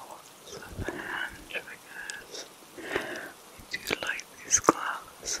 Lots of hand triggers. I do like these gloves.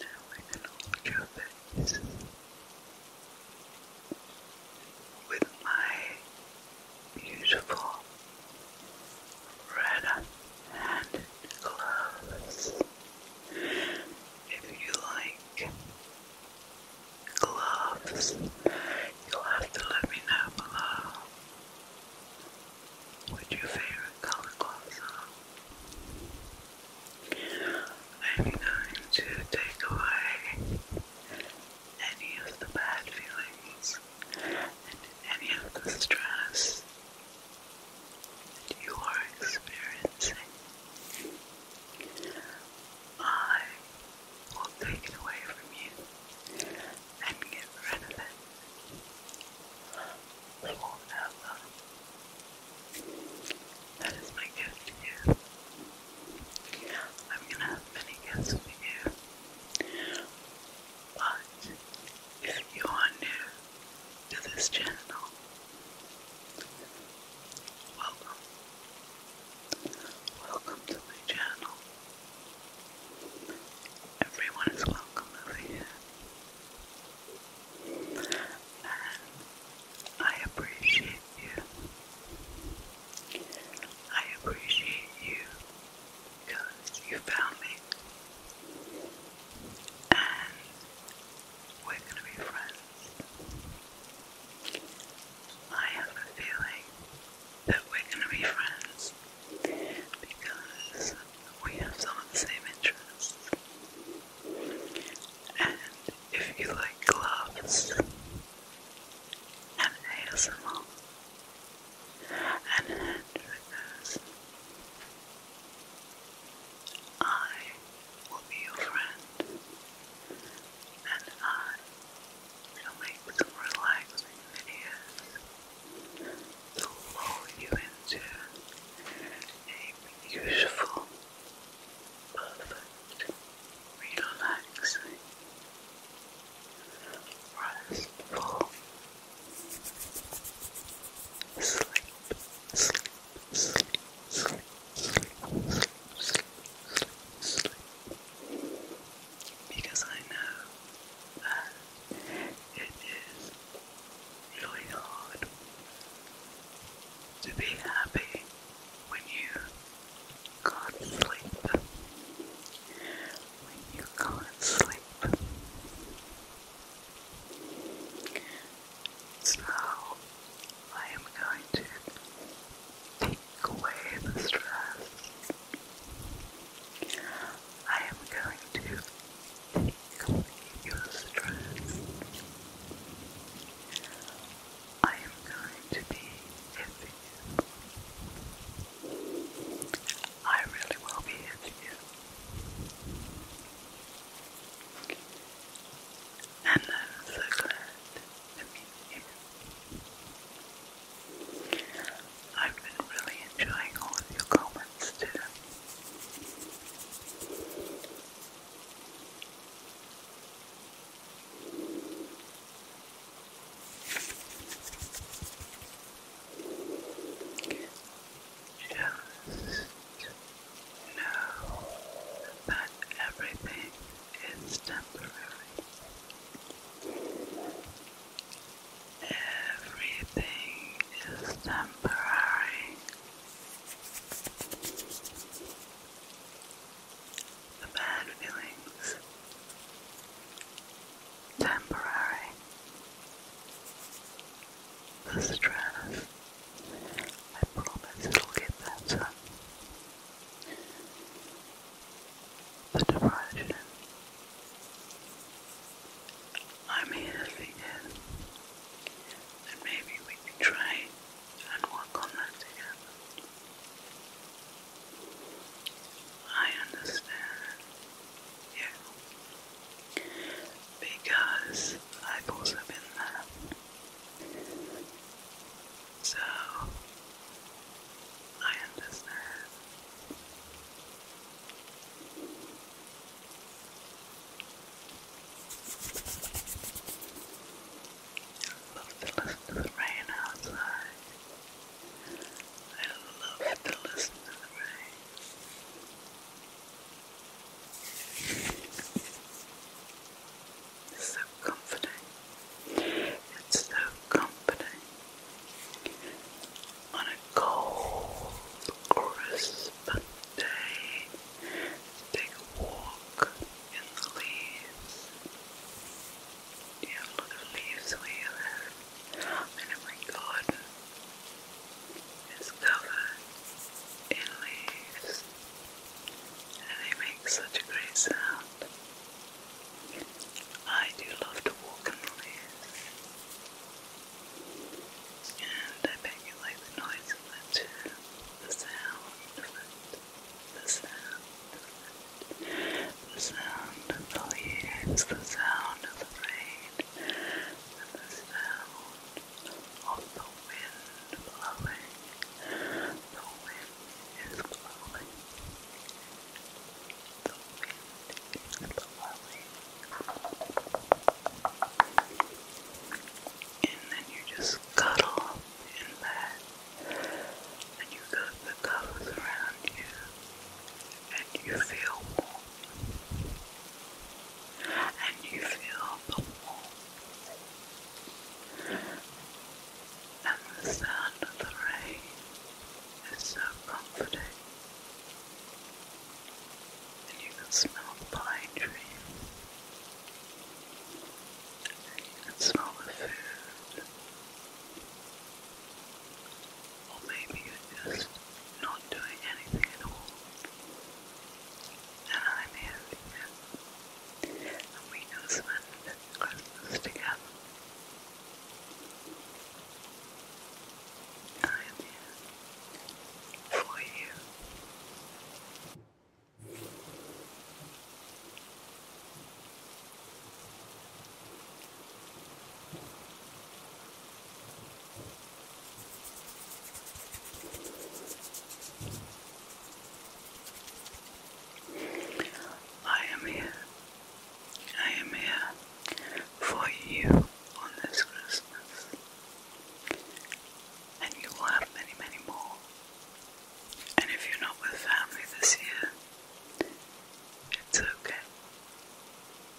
Now we're going to hold your with my beautiful red handed gloves. If you like gloves, you'll have to let me know below. What's your favorite color gloves are? to take away any of the bad feelings and any of the stress that you are experiencing. I will take it away from you and get rid of it. We will have That is my gift to you. I'm gonna have many gifts for you. But if you are new to this channel, welcome. Welcome to my channel. Everyone is welcome over here. And I appreciate you. I appreciate you because you found me. And we're going to be friends. I have a feeling that we're going to be friends because we have some of the same interests. And if you like gloves and ASMR and hand I will be your friend and I will make relaxing videos to mold you into a beautiful, perfect, relaxing, restful sleep, sleep, sleep, sleep, sleep, sleep, sleep, sleep. Because I know that it is really hard to be happy when you can't sleep. When you can't sleep. So I am going to take away the stress. I am going to your stress. I am going to be here for you. I really will be here for you. And I'm so glad to meet you. I've been really enjoying all of your comments hands too. Just know that everything is temporary. Everything is temporary. The bad feelings, temporary. The stress, I promise it'll get better. The depression, I'm here thinking that maybe we could try and work on that together. I understand you because I've also there. So I understand love to listen to the rain outside. I love to listen to the rain. It's so comforting. It's so comforting. On a cold, crisp day, take a walk in the leaves. Do you have leaves where you live? And garden, it's covered in leaves, and they make such a great sound. I do love to walk in the leaves. And I bet you like the noise of it too. The sound of it. The sound of it. The sound of the leaves. The sound of the rain. And the sound of the wind blowing. The wind is blowing. The wind is blowing and then you just cuddle in bed and you go the covers around you and you feel warm and you feel the warmth and the sound of the rain is so comforting and you can smell the pine tree, and you can smell the food, or maybe you're just not doing anything at all, and I'm here with you, and we can spend Christmas together. I am here for you. I am here. I am here for you on this Christmas and you will have many, many more. And if you're not with family this year, it's okay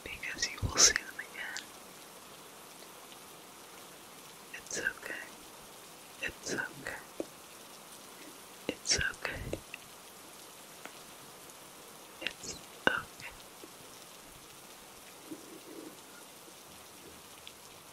because you will see them again. It's okay. It's okay. It's okay. It's okay.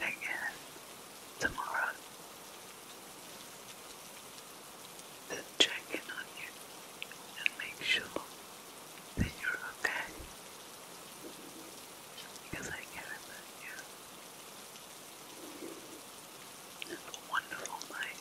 again tomorrow to check on you and make sure that you're okay because I care about you. Have a wonderful night.